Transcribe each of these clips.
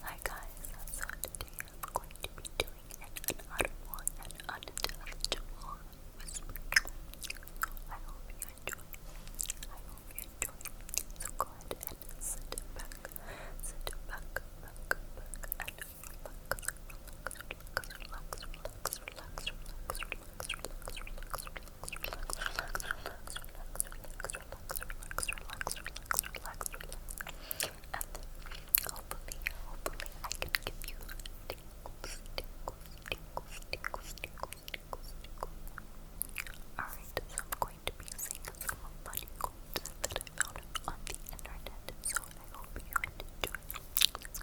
Hi guys, so today I'm going to be doing an unaudible and unintelligible whisper. So I hope you enjoy. I hope you enjoy. So go ahead and sit back, sit back, back, back, and relax, relax, relax, relax, relax, relax, relax, relax, relax, relax. relax, relax hopefully, hopefully I can give you tingles, tingles, tingles, tingles, tingles, tingles, tingles. Alright, so I'm going to be singing some funny quotes that I found on the internet, so I hope you enjoy. Let's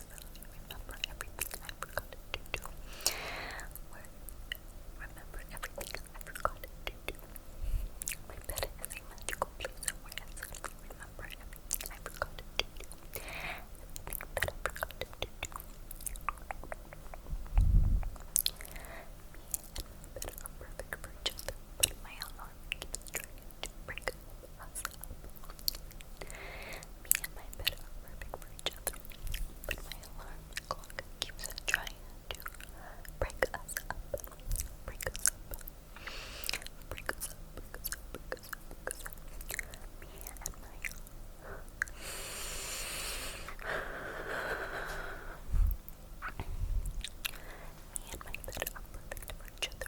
I really remember everything I forgot to do. Where remember everything I forgot to do. My bed is magical place I suddenly remember to do. Everything I forgot to do. Me my bed are perfect for each other, my alone mom keeps Me and my bed are perfect for each other, my alarm clock keeps trying to Break us up. Break us up. Break us up. Break us up. Break us up. Me and my me and my bed are perfect for each other,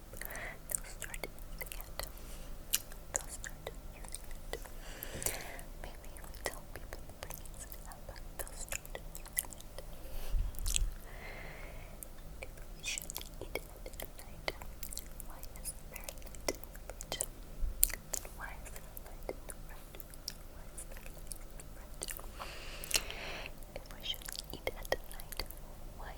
app, they'll start using it. They'll start using it. Maybe you tell people to they'll start using it. If we should eat at night, why is there light the If we should eat at night, why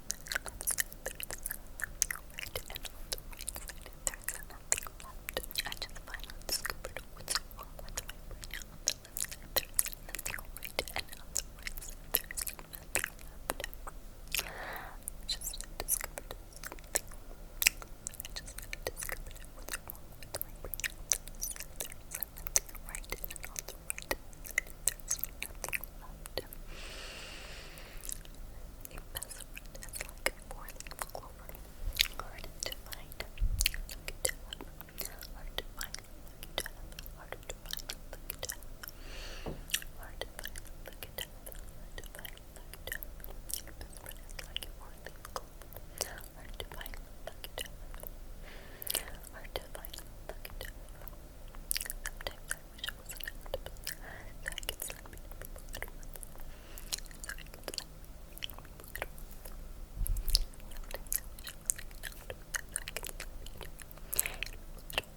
right and on the right side, there's nothing left. I just finally discovered what's wrong with my brain. On the left side, there's nothing right, and on the right side, there's nothing left. I just discovered something. I just discovered what's wrong with my brain. On the left side, there's nothing right, and on the there's nothing hard to find, lucky to have, hard to find, lucky to have, hard to find, lucky to have, hard to find, hard to find, hard to find, hard to find, wish I wasn't allowed to post so I could slap people at once. So I could slap people at once. Sometimes I wish I wasn't allowed to post so I could slap people at once. As your best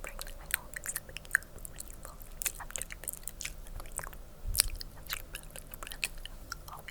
friend, I always make you when you fall after I've been. As your best friend, I always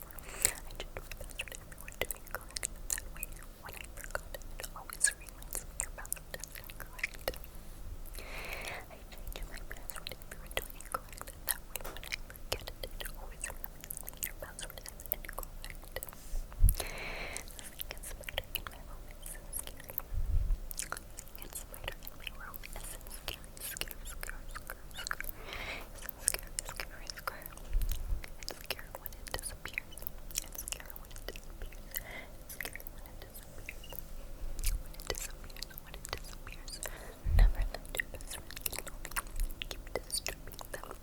I did my best for everyone to be correct that way. When I forgot, it always reminds me about the test and correct. I changed my password if you were doing it correct. That way, when I forget it, it always reminds me your password is incorrect. Sleek and spider in my room is so scary. Sleek and spider in my room is so scary. Scare, scare, scare, scare. It's scary, it's scary, it's when it disappears. It's when it disappears. It's when it disappears. When it disappears, when it disappears. Never let your best you. Keep disturbing them.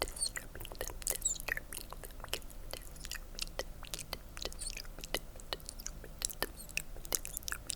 disturbing them, disturbing them. disturbing them, disturbing them, disturbing them, disturbing them.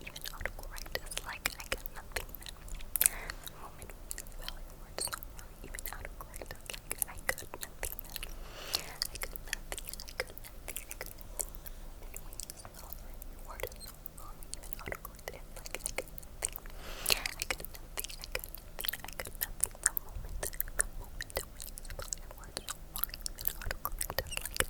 Even autocorrect is like, I got nothing. The moment we spell your words so wrong, even autocorrect is like, I got nothing. I got nothing, I got nothing, I got nothing. The moment we spell your words so wrong, even autocorrect is like, I got nothing. I got nothing, I got nothing, I got nothing. The moment, the moment we spell your words so wrong, even autocorrect is like,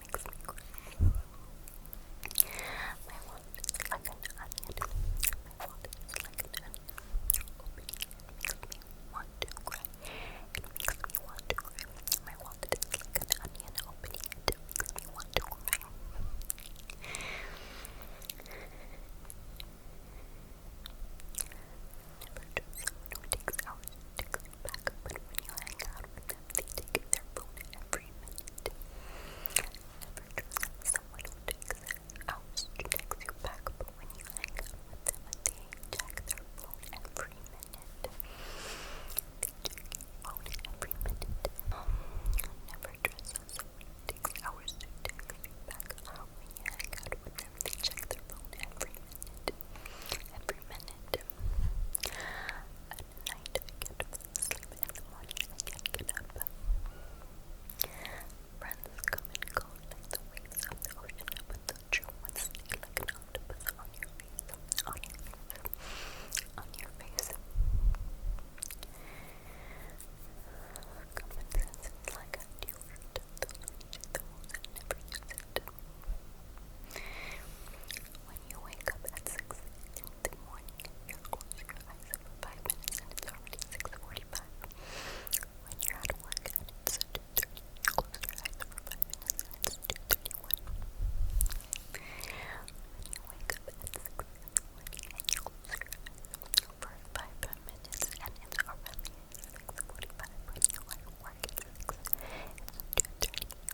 makes me cry. My wallet My wallet like an onion. makes me want to cry. It makes me want to cry. My wallet like an onion. makes me want to cry. Never trust someone who takes hours to call you back, when you hang out with them, they take their phone every agreement. Never trust someone who takes out to text you back, but when you hang out with them, they check their phone every minute. They check your phone every minute. never trust someone who takes hours to text you back. When you hang out with them, they check their phone every minute. Every minute. At night, I can't fall In the morning, I can't get up. Friends come and go like the waves of the ocean, but they'll chill one like an on your face, on your face, on your face. Common sense is like a new fruit. Those never use it when you wake up at 6 in the morning, you're your eyes for 5 minutes and it's already 6.45. When you're at work and it's 2.30, you close your eyes for 5 minutes and it's 2.31. you wake up at 6 in the morning you close your eyes for 5 minutes and it's already 6.45. When you are at work at 6, it's 2.30.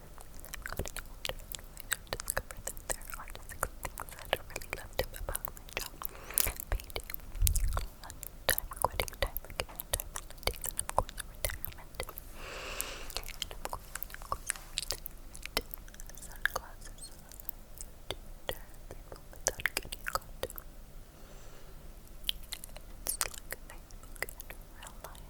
discovered that there are six things that really loved him about my job. Payday, lunchtime, quitting time, vacation time, holidays, and of course retirement. And of course, of course, retirement. Sunglasses allow you to turn people without getting caught. It's like Facebook and real life.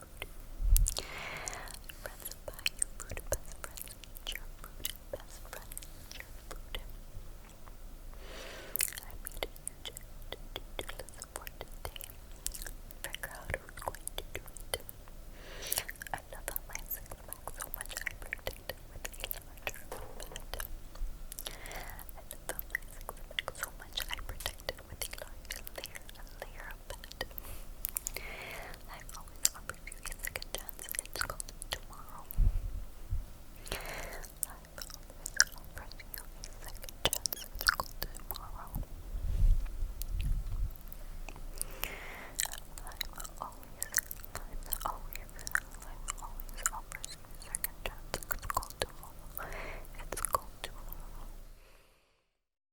food. Friends buy your food, best friends eat your best friends eat your I made a huge doodle support today. Figure out who's it. I love my six pack so much I protect it with a larger pad. I love my six pack so much I protect it with a large layer, layer happened. I've always offered you a second chance. It's called tomorrow. I've always offered you a second chance. It's called tomorrow. I've always, I've always, I've always offered you a second chance. It's called tomorrow. It's called tomorrow.